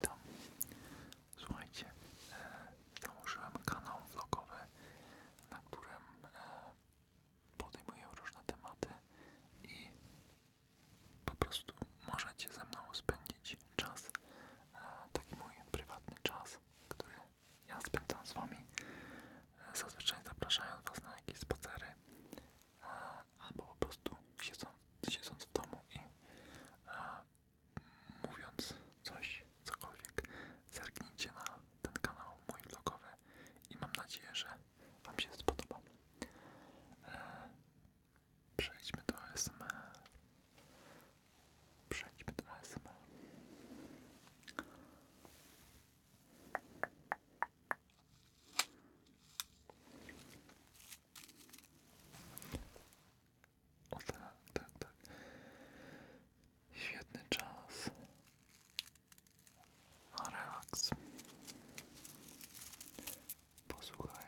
Witam. Słuchajcie, e, założyłem kanał vlogowy, na którym e, podejmuję różne tematy i po prostu możecie ze mną spędzić czas, e, taki mój prywatny czas, który ja spędzam z wami, e, zazwyczaj zapraszając was na jakieś spacery e, albo po prostu siedząc, siedząc w domu i e, mówiąc coś, cokolwiek, zerknijcie na ten kanał mój vlogowy i mam nadzieję, że Wam się spodoba. E, przejdźmy do ASMR. Przejdźmy do ASMR. O tak, tak, tak. Świetny czas. relaks. Posłuchaj,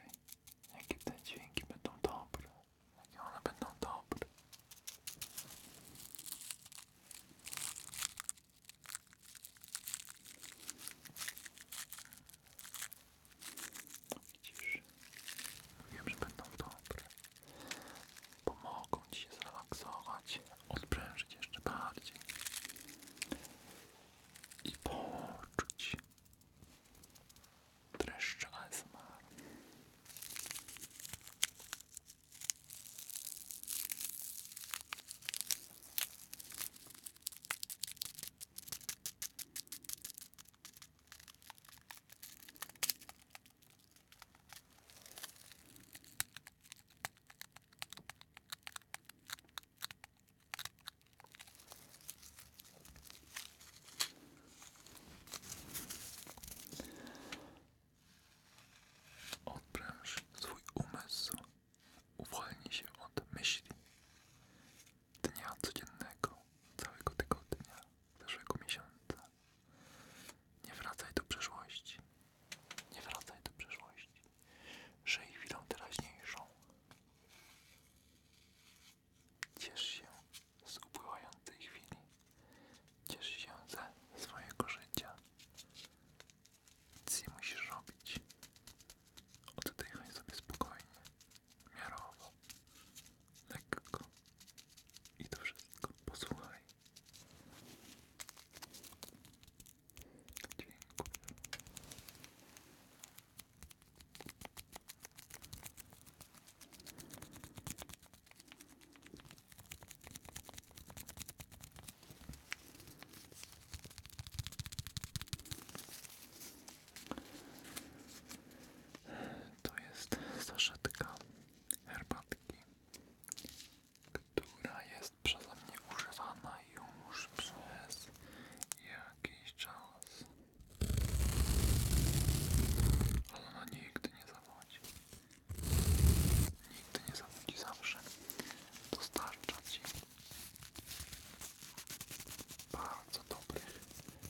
jakie te dźwięki będą dobre. Jakie one będą dobre. Widzisz? Wiem, że będą dobre. Pomogą cię się zrelaksować, odprężyć jeszcze bardziej i poczuć dreszcz ASMR. Odpręż swój umysł, uwolnij się od myśli dnia codziennego, całego tygodnia, zeszłego miesiąca. Nie wracaj do przeszłości. Nie wracaj do przeszłości. Żyj chwilą teraźniejszą. Ciesz się z upływającej chwili. Ciesz się ze swojego życia. Nic nie musisz robić. Oddychaj sobie spokojnie miarowo, lekko i to wszystko posłuchaj. Dziękuję. Dziękuję. To jest saszetka herbatki, która jest przeze mnie używana już przez jakiś czas. Ale ona nigdy nie zawodzi. Nigdy nie zawodzi, zawsze dostarcza Ci bardzo dobrych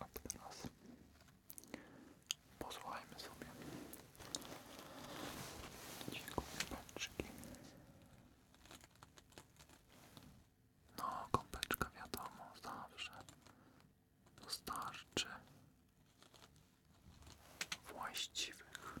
A posłuchajmy sobie dźwięku kąpeczki. No, kąpeczka wiadomo, zawsze dostarczy właściwych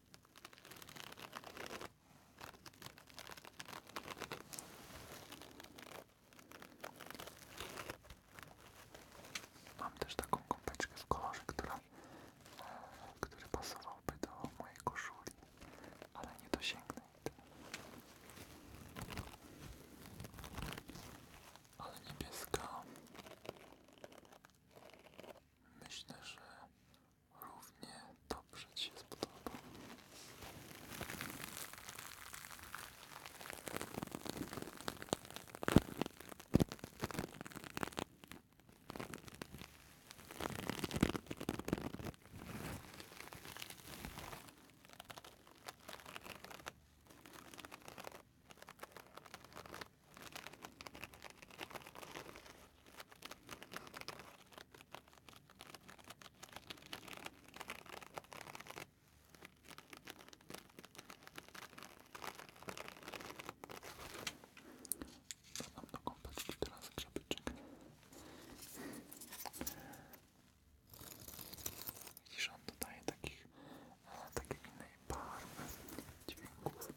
Mam też taką kąpeczkę w kolorze, która, e, który pasowałby do mojej koszuli, ale nie dosięgnę jej. Ale niebieska myślę, że równie dobrze Ci spodoba. Zadam do kąpaczki teraz krzepyczek. Widzisz, on dodaje takich, e, takiej innej barwy dźwięków.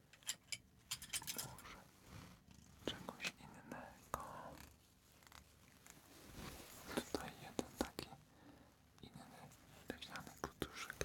Może czegoś innego. Tutaj jeden taki inny leśniany kutuszek.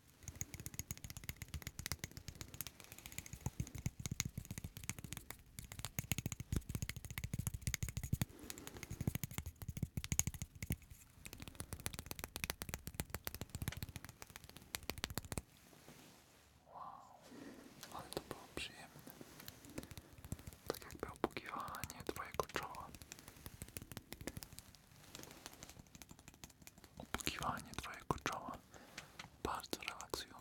Wow, ale to było przyjemne. Tak jakby opukiwanie twojego czoła opukiwanie twojego czoła bardzo relaksujące.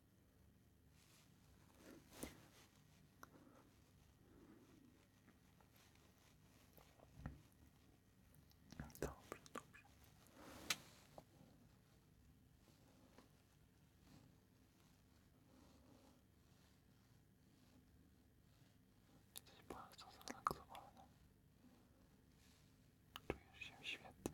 Dobrze, dobrze. Jesteś bardzo zrelaksowany. Czujesz się świetnie.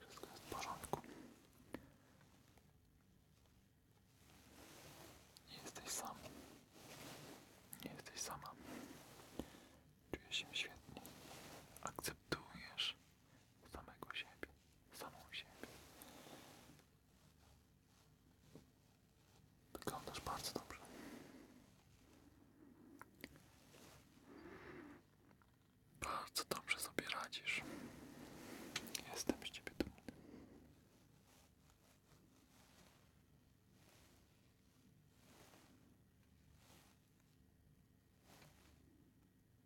Wszystko jest Nie jesteś sam. Nie jesteś sama. Czuję świetnie. Akceptujesz samego siebie, samą siebie. Wyglądasz bardzo dobrze. Bardzo dobrze sobie radzisz. Jestem z ciebie dumny.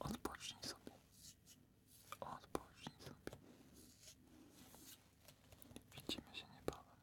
Odpocznij sobie. Odpocznij sobie. Widzimy się niebawem.